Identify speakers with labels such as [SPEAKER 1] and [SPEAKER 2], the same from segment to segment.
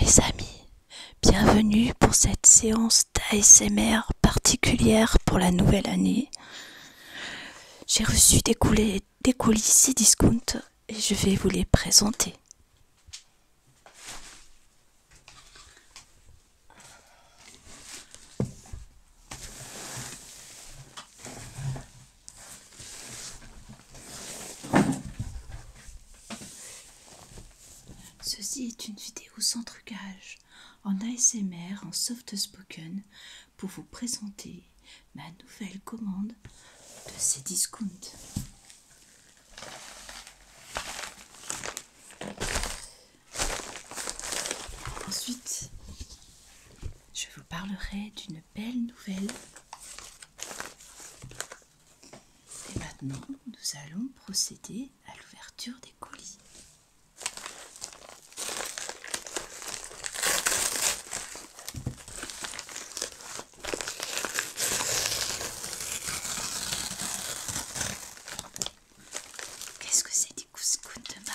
[SPEAKER 1] Mes amis, bienvenue pour cette séance d'ASMR particulière pour la nouvelle année. J'ai reçu des, coulisses des discounts et je vais vous les présenter. Ceci est une vidéo sans trucage, en ASMR, en soft spoken, pour vous présenter ma nouvelle commande de ces discounts. Ensuite, je vous parlerai d'une belle nouvelle et maintenant, nous allons procéder à l'ouverture des colis. Qu'est-ce que c'est des couscous de ma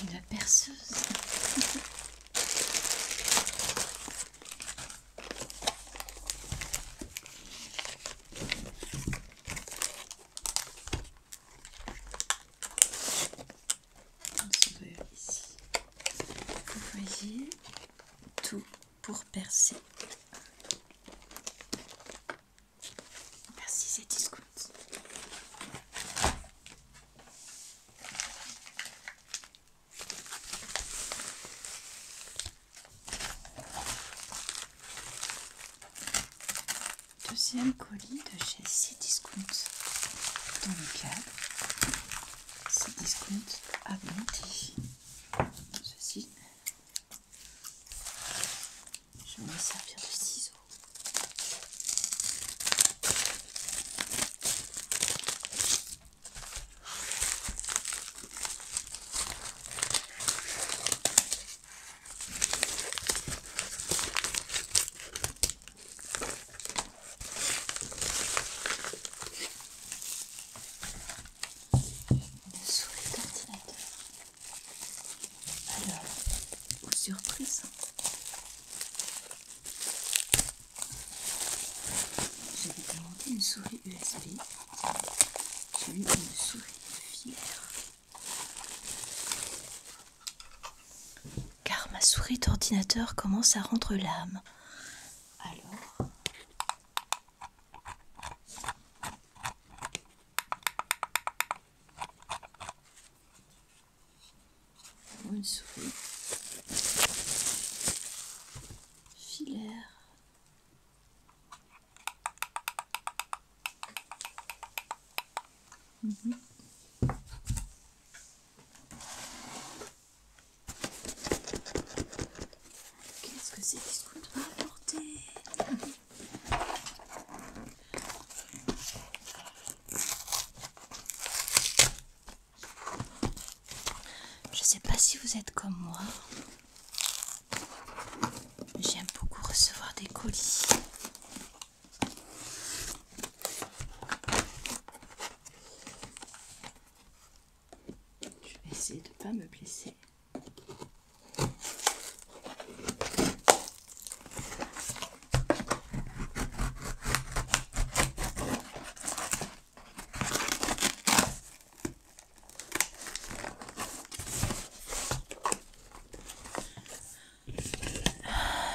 [SPEAKER 1] Une perceuse. On se ici. Vous voyez tout pour percer. Merci, c'est discount. Deuxième colis de chez Cdiscount dans le Sidiscount Cdiscount monté Ceci je vais me servir de ciseaux une souris d'ordinateur. Alors, aux surprises, j'avais inventé une souris USB, j'ai une souris filaire Car ma souris d'ordinateur commence à rendre l'âme. Alors, une Filaire. Qu'est-ce que c'est ce apporter Je sais pas si vous êtes comme moi. J'aime beaucoup recevoir des colis. Je vais essayer de ne pas me blesser.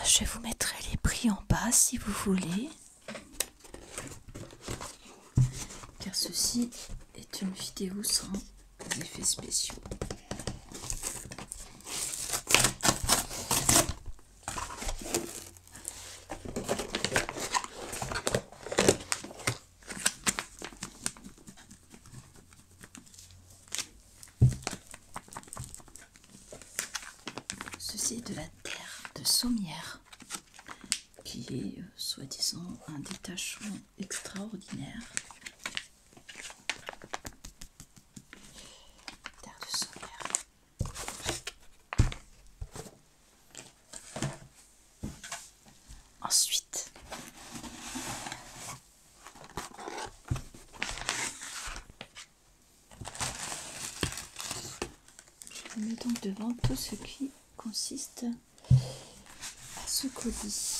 [SPEAKER 1] Je vous mettrai les prix en bas si vous voulez car ceci est une vidéo sans effets spéciaux. Ceci est de la terre de Saumière qui est euh, soi-disant un détachement extraordinaire. Ensuite, je mets donc devant tout ce qui consiste ce colis.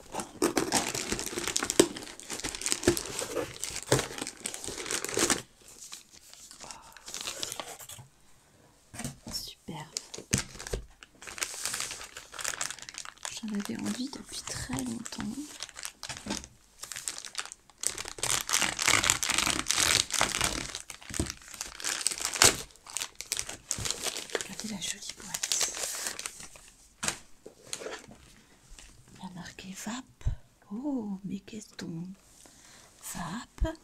[SPEAKER 1] Ah, super, J'en avais envie depuis très longtemps. Regardez la jolie boîte. La VAP. Oh, mais qu'est-ce qu'on VAP.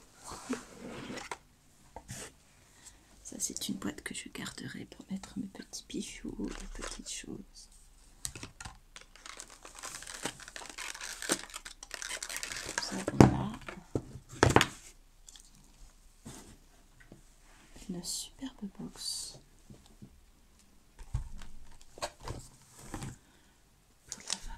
[SPEAKER 1] Ça, c'est une boîte que je garderai pour mettre mes petits bijoux, mes petites choses. Ça, une superbe box pour la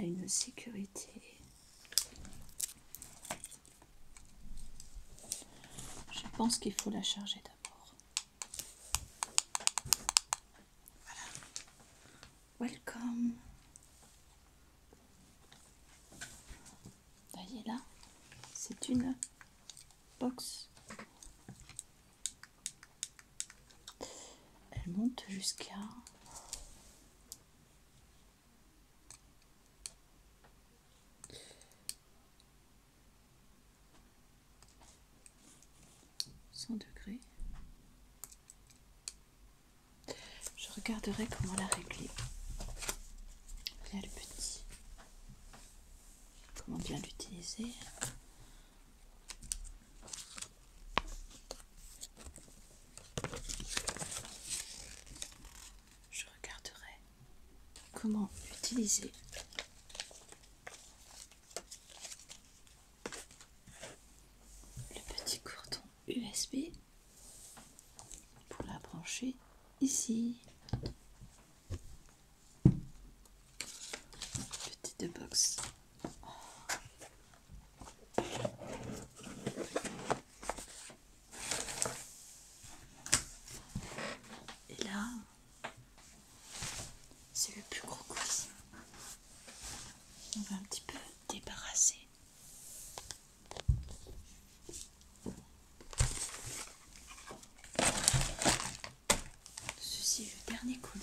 [SPEAKER 1] Il y a une sécurité je pense qu'il faut la charger d'abord. Voilà. Welcome. voyez là, c'est une box. Elle monte jusqu'à 100 degrés. Je regarderai comment la régler. a le petit. Comment bien l'utiliser je regarderai comment utiliser Le petit cordon USB pour la brancher ici. Petite box. Et là, c'est le plus gros coulis, On va un petit peu débarrasser. Ceci est le dernier colis.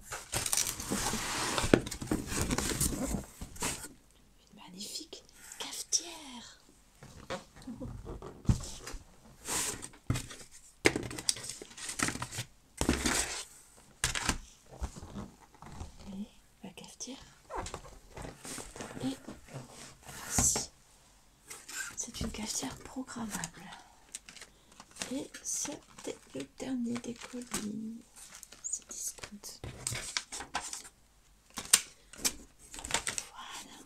[SPEAKER 1] Une magnifique cafetière. Et la cafetière. Et voici. C'est une cafetière programmable. Et c'était le dernier des colis. C'est discount. Voilà.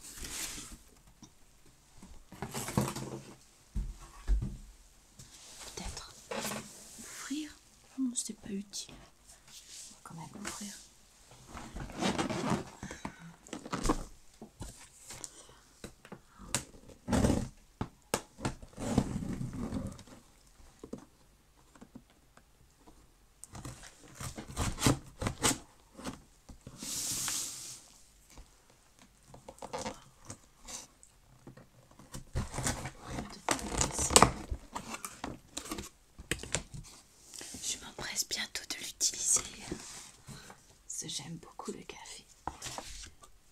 [SPEAKER 1] Peut-être ouvrir. Oh non, c'est pas utile. On va quand même ouvrir. Je m'empresse bientôt de l'utiliser. J'aime beaucoup le café.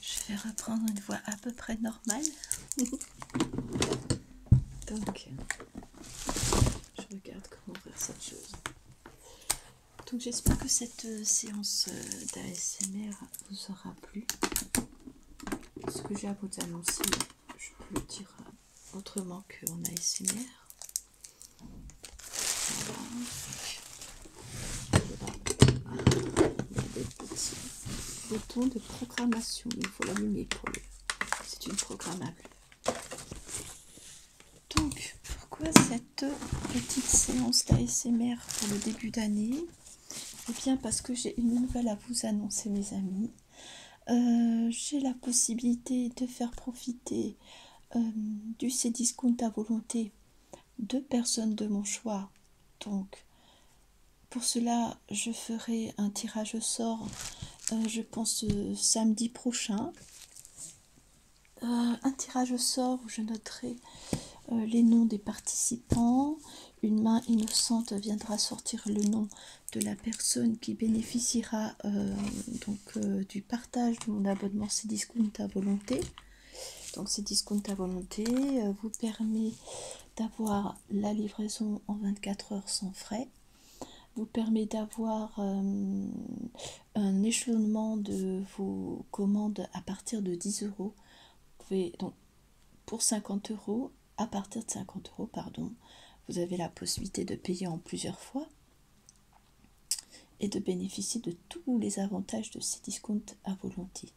[SPEAKER 1] je vais reprendre une voix à peu près normale. Donc, je regarde comment faire cette chose. Donc, j'espère que cette euh, séance euh, d'ASMR vous aura plu. Ce que j'ai à vous annoncer je peux le dire euh, autrement qu'en ASMR. il a de programmation, il faut l'allumer pour le. C'est une programmable. Donc, pourquoi cette petite séance d'ASMR pour le début d'année Eh bien, parce que j'ai une nouvelle à vous annoncer, mes amis. Euh, j'ai la possibilité de faire profiter du euh, du Cdiscount à volonté deux personnes de mon choix. Donc, pour cela, je ferai un tirage au sort, euh, je pense, samedi prochain. un tirage au sort où je noterai les noms des participants. Une main innocente viendra sortir le nom de la personne qui bénéficiera euh, donc euh, du partage de mon abonnement Cdiscount à volonté. Donc Cdiscount à volonté euh, vous permet d'avoir la livraison en 24 heures sans frais, vous permet d'avoir un échelonnement de vos commandes à partir de 10 euros. pouvez donc pour 50 euros à partir de 50 euros, pardon, vous avez la possibilité de payer en plusieurs fois et de bénéficier de tous les avantages de ces discounts à volonté.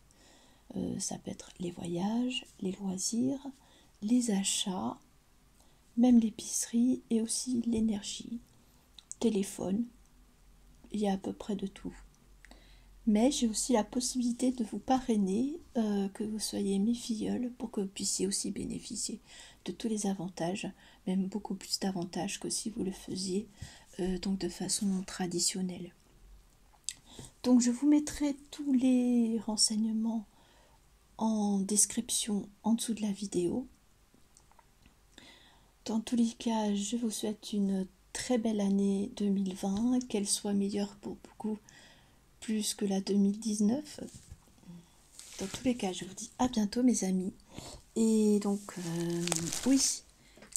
[SPEAKER 1] Euh, ça peut être les voyages, les loisirs, les achats, même l'épicerie et aussi l'énergie, téléphone, il y a à peu près de tout. Mais j'ai aussi la possibilité de vous parrainer, euh, que vous soyez mes filleuls, pour que vous puissiez aussi bénéficier de tous les avantages, même beaucoup plus d'avantages que si vous le faisiez euh, donc de façon traditionnelle. Donc je vous mettrai tous les renseignements en description en dessous de la vidéo. Dans tous les cas, je vous souhaite une très belle année 2020, qu'elle soit meilleure pour beaucoup plus que la 2019. Dans tous les cas, je vous dis à bientôt mes amis. Et donc, euh, oui,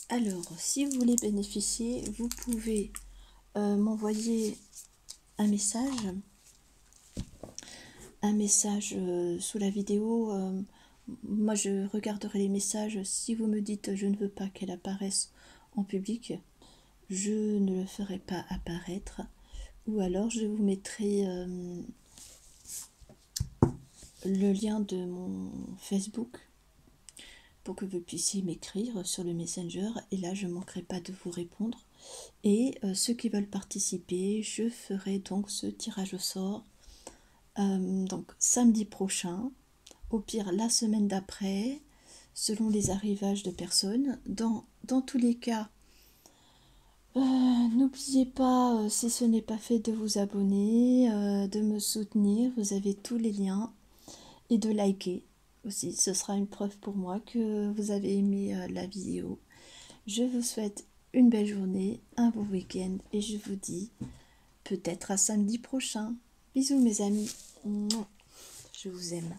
[SPEAKER 1] alors, si vous voulez bénéficier, vous pouvez euh, m'envoyer un message. Un message euh, sous la vidéo. moi, je regarderai les messages. Si vous me dites je ne veux pas qu'elle apparaisse en public, je ne le ferai pas apparaître ou alors je vous mettrai euh, le lien de mon Facebook pour que vous puissiez m'écrire sur le Messenger et là je ne manquerai pas de vous répondre. Et euh, ceux qui veulent participer, je ferai donc ce tirage au sort euh, donc samedi prochain, au pire la semaine d'après, selon les arrivages de personnes. dans tous les cas, euh, n'oubliez pas, euh, si ce n'est pas fait, de vous abonner, euh, de me soutenir, vous avez tous les liens, et de liker aussi. Ce sera une preuve pour moi que vous avez aimé la vidéo. Je vous souhaite une belle journée, un beau week-end, et je vous dis peut-être à samedi prochain. Bisous mes amis, je vous aime.